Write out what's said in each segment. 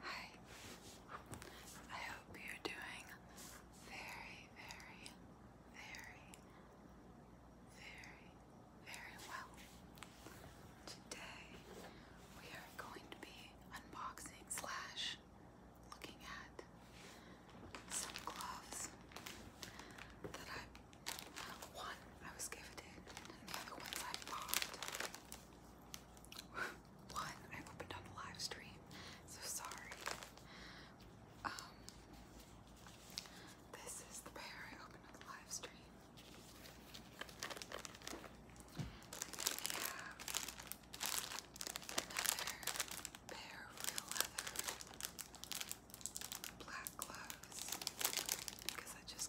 Hi. I hope you're doing very, very, very, very, very well. Today we are going to be unboxing slash looking at some gloves that I uh, one I was gifted and the other ones I bought. One, I opened on a live stream, so sorry. Um, this is the pair I opened on the live stream. And another pair of real leather black gloves because that just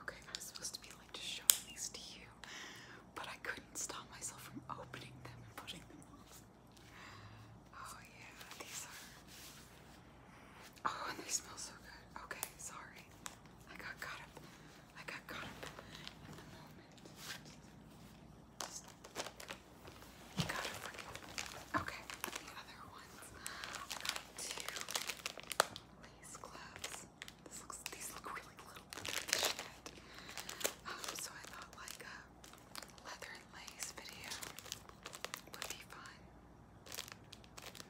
Okay, I was supposed to be like just showing these to you, but I couldn't stop myself from opening them and pushing them off. Oh yeah, these are. Oh, and they smell so good. Okay, sorry. I got caught up. I got caught up in the moment. You gotta forget. Okay, the other one ones. I got two lace gloves. This looks these look really little um, so I thought like a leather and lace video would be fun.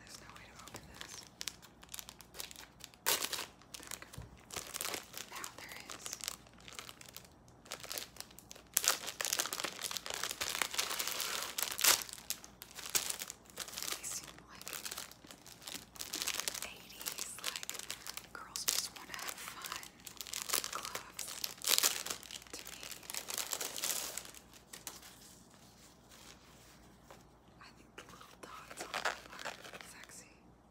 There's no way to open this. Now there is. They seem like 80s, like girls just want to have fun. to me. I think the little dots on them are sexy. Okay.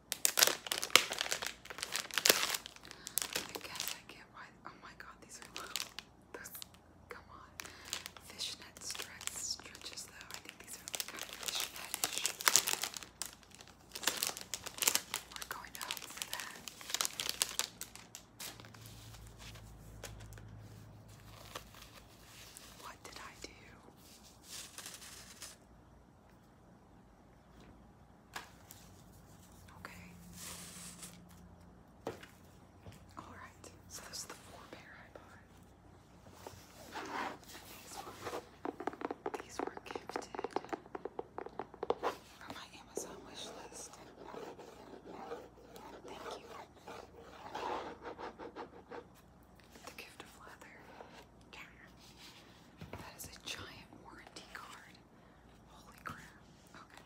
I guess I get why. Oh my god, these are little. Those, come on. Fishnet stretch, stretches, though. I think these are kind of fishnetish. So, we going to hope for that. What did I do? Okay. All right. So this is the four pair I bought. These were these were gifted from my Amazon wish list. Thank you. The gift of leather. That is a giant warranty card. Holy crap. Okay.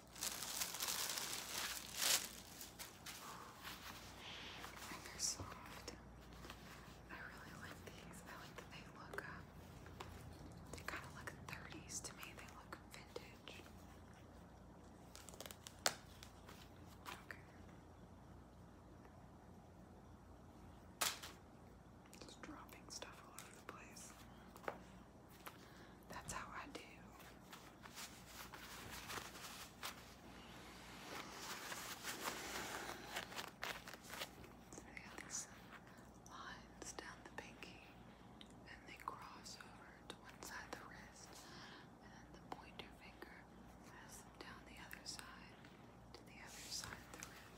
And they I really like these. I like that they look, uh, they kind of look 30s to me. They look vintage. Okay. Just dropping stuff all over the place. That's how I do. I got these lines down the pinky, and they cross over to one side the wrist, and then the pointer finger has them down the other side to the other side the wrist.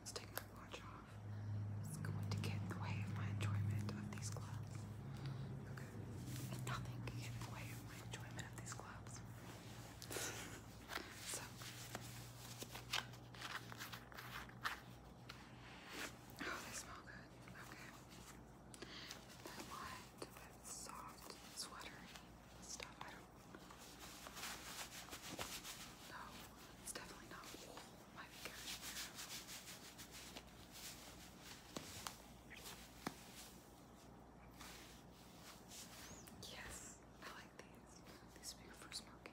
Let's take my watch off. It's going to get in the way of my enjoyment of these clubs. Okay. Nothing can get in the way of my enjoyment of these clubs. so Oh, they smell good. Okay. I want soft, sweatery stuff. I don't no, it's definitely not wool. Yes, I like these. these would be good for smoking.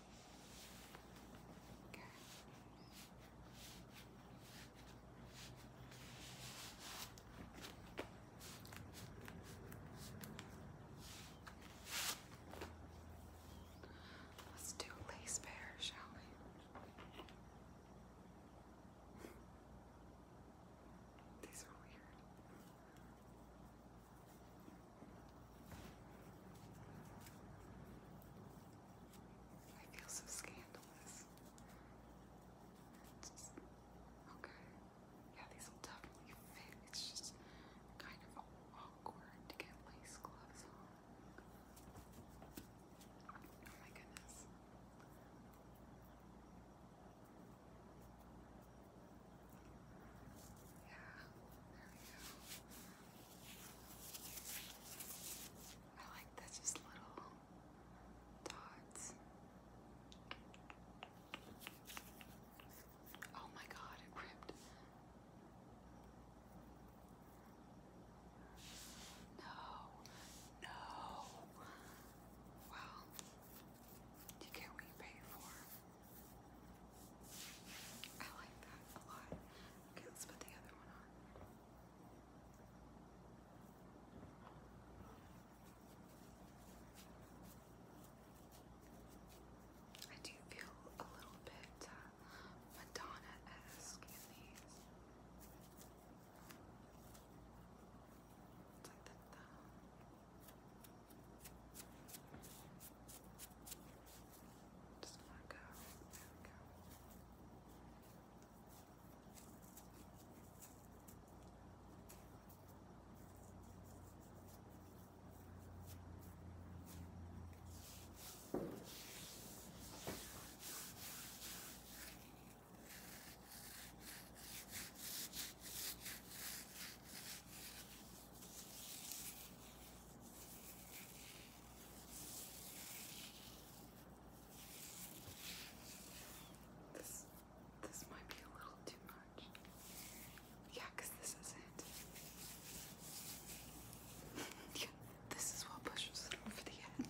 Let's do lace bear, shall we? These are weird. I feel so scandalous. okay. Yeah, these will definitely fit. It's just kind of awkward to get lace gloves on. Oh my goodness there we go. I like that just little dots. Oh my god, it ripped. No, no. Well, you get what you pay for. I like that a lot. Okay, let's put the other one on. I do feel a little bit uh, Madonna-esque in these. Just gonna go. There we go. Okay. This this might be a little too much. Yeah, this is it. yeah, this is what pushes it over the edge.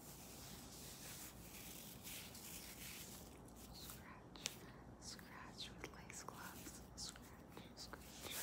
Scratch, scratch with lace gloves. Scratch, scratch. Scratch,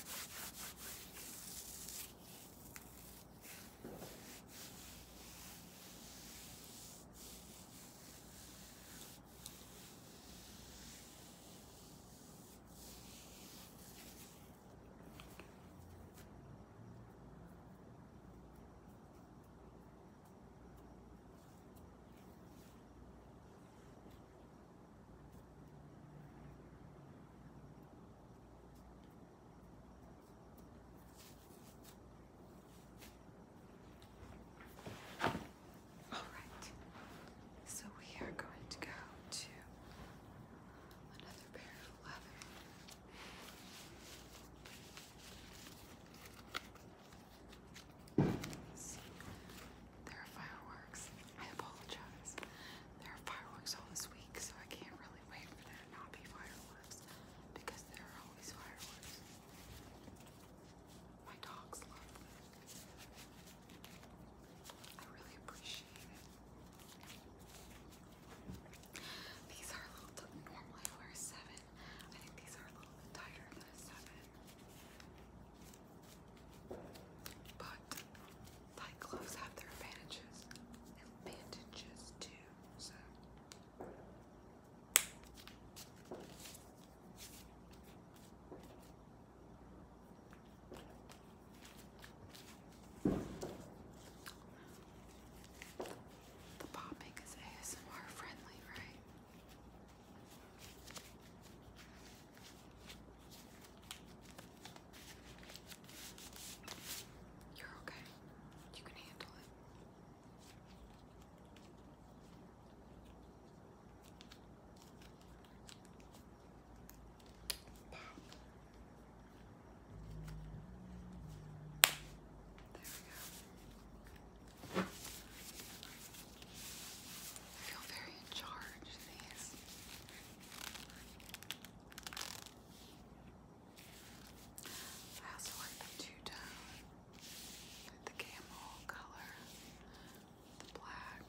all right. So we are going to go to another pair of leather there are fireworks. I apologize. There are fireworks all this week, so I can't really wait for there to not be fireworks because there are always fireworks. My dogs love them. I really appreciate it. These are a little normally wear seven. I think these are a little bit tighter than a seven. But tight gloves have their advantages. Advantages too, so the popping is ASMR friendly, right? You're okay. You can handle it. Pop. There we go. I feel very in charge of these. I also like the two-tone, the camel color, the black.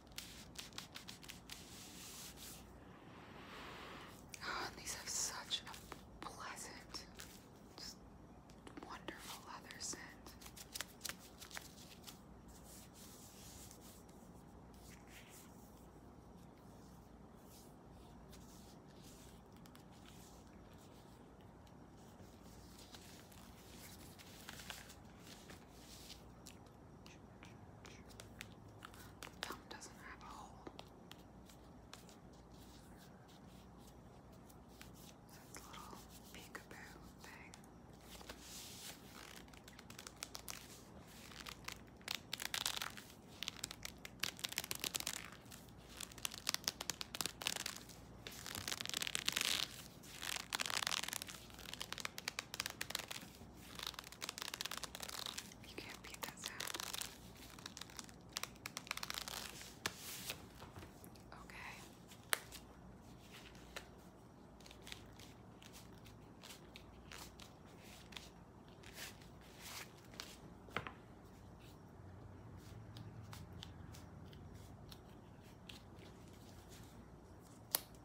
Oh, these have such a pleasant, just wonderful leather scent. The thumb doesn't have a hole. So it's a little peekaboo thing. All you can't beat that sound. Okay.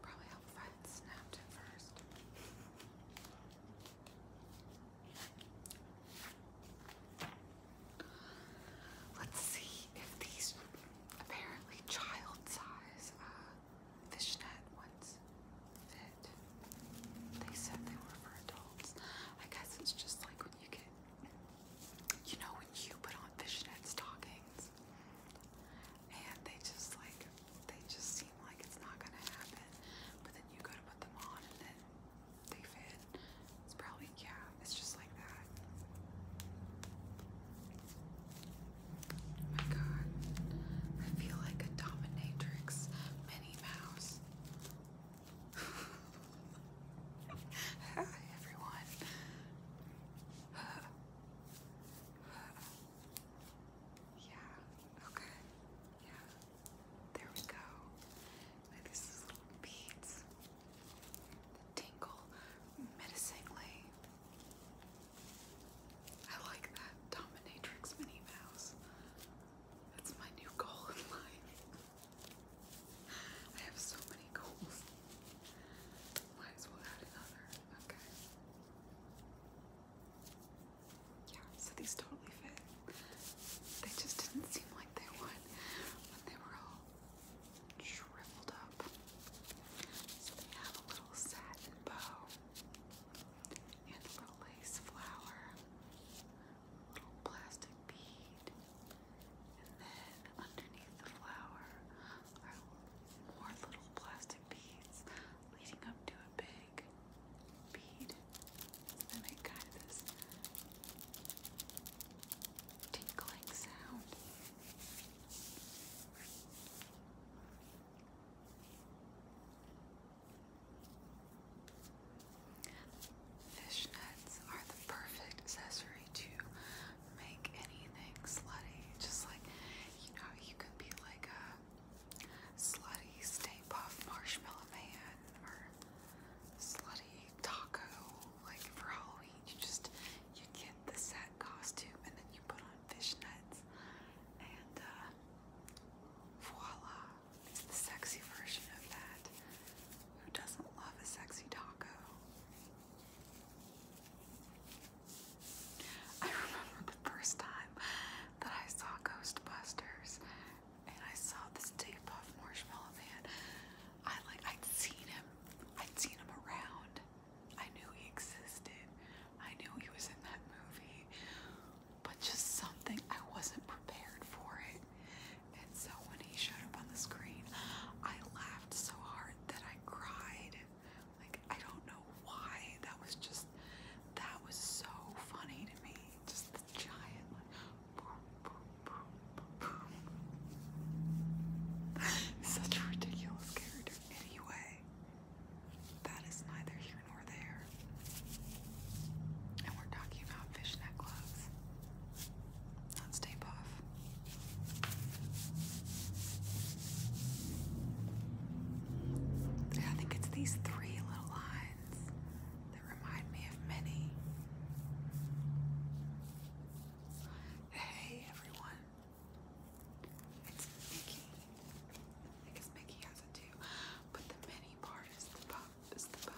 Probably how Fred snapped it first. Let's see if these apparently child size uh, fishnet ones fit. They said they were for adults. I guess it's just like when you get you know when you put on fishnet stockings and they just like they just seem like it's not gonna happen, but then you go to put them on and then they fit. It's probably yeah, it's just like that. Oh my god. I feel like a dominatrix Minnie Mouse. Hi everyone yeah, okay, yeah, there we go. these little beads tingle menacingly. I like that dominatrix mini mouse. That's my new goal in life. I have so many goals. Might as well add another. Okay. Yeah, so these totally fit. They just didn't seem like they would when they were all shriveled up. they have a little satin bow and a little lace flower, a little plastic bead, and then underneath the flower are more little plastic beads leading up to a big bead. They make kind this tinkling sound. Fishnets are the perfect accessory to make anything slutty. Just like, you know, you could be like a slutty Stay Puff Marshmallow Man or slutty taco. Like for Halloween, you just, you get the set costume and then you put on fishnets and uh, voila. It's the sexy version of that. Who doesn't love a sexy taco? I remember the first time that I saw Ghostbusters and I saw this Dave Puff Marshmallow Man. I like I'd seen him. I'd seen him around. I knew he existed. I knew he was in that movie. But just something I wasn't prepared for it. And so when he showed up on the screen, I laughed so hard that I cried. Like, I don't know why. That was just, that was so funny to me. Just the giant, like, boom, boom, boom, boom, boom. Such a ridiculous character. Anyway, that is neither here nor there. And we're talking about fishnet gloves. Let's tape off. I think it's these three little lines that remind me of Minnie. Hey everyone, it's Mickey. I guess Mickey has it too, but the Minnie part Is the bow.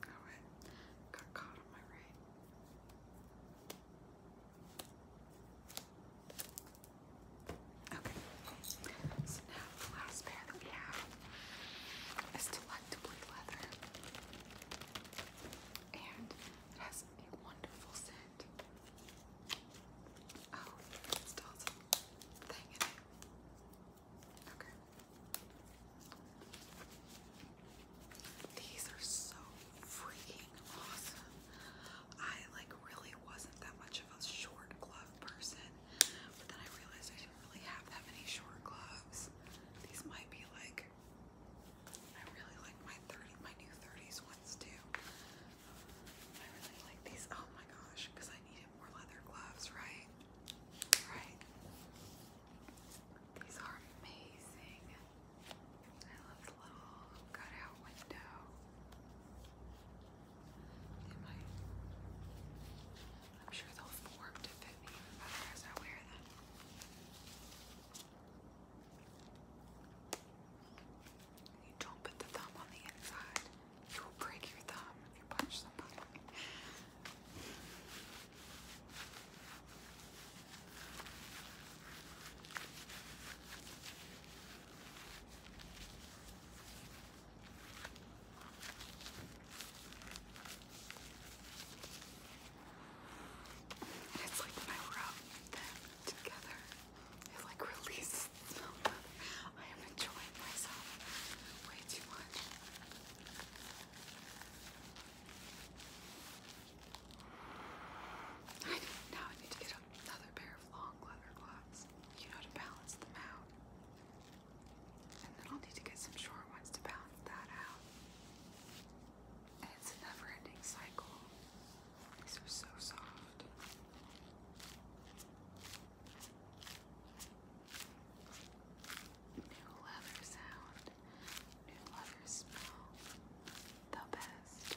Alright, got caught on my right. Okay, so now the last pair that we have is Delectably Leather. And it has a wonderful scent. Oh, it these are so freaking awesome. I like really wasn't that much of a short glove person, but then I realized I didn't really have that many short gloves. These might be like I really like my 30 my new 30s ones too. I really like these. Oh my gosh, because I needed more leather gloves, right? Right. These are amazing. I love the little cutout window. I'm sure they'll form to fit me as I wear them. You don't put the thumb on the inside. You will break your thumb if you punch somebody. It's like when I rub them together, it like releases I am enjoying myself way too much. I now I need to get another pair of long leather gloves, you know, to balance them out. And then I'll need to get some short ones to balance that out. it's a never ending cycle. These are so soft. New leather sound, new leather smell, the best.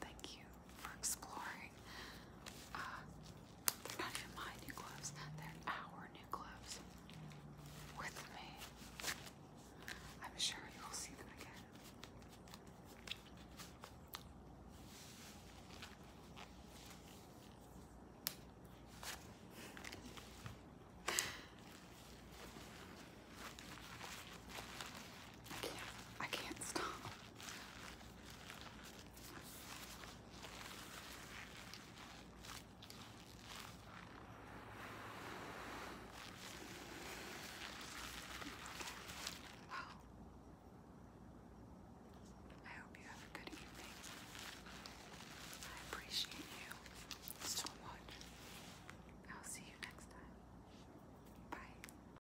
Thank you for exploring. Uh, they're not even my new gloves, they're our new gloves with me. I'm sure you will see them again. I can't, I can't stop. Wow. I hope you have a good evening. I appreciate you so much. I'll see you next time. Bye.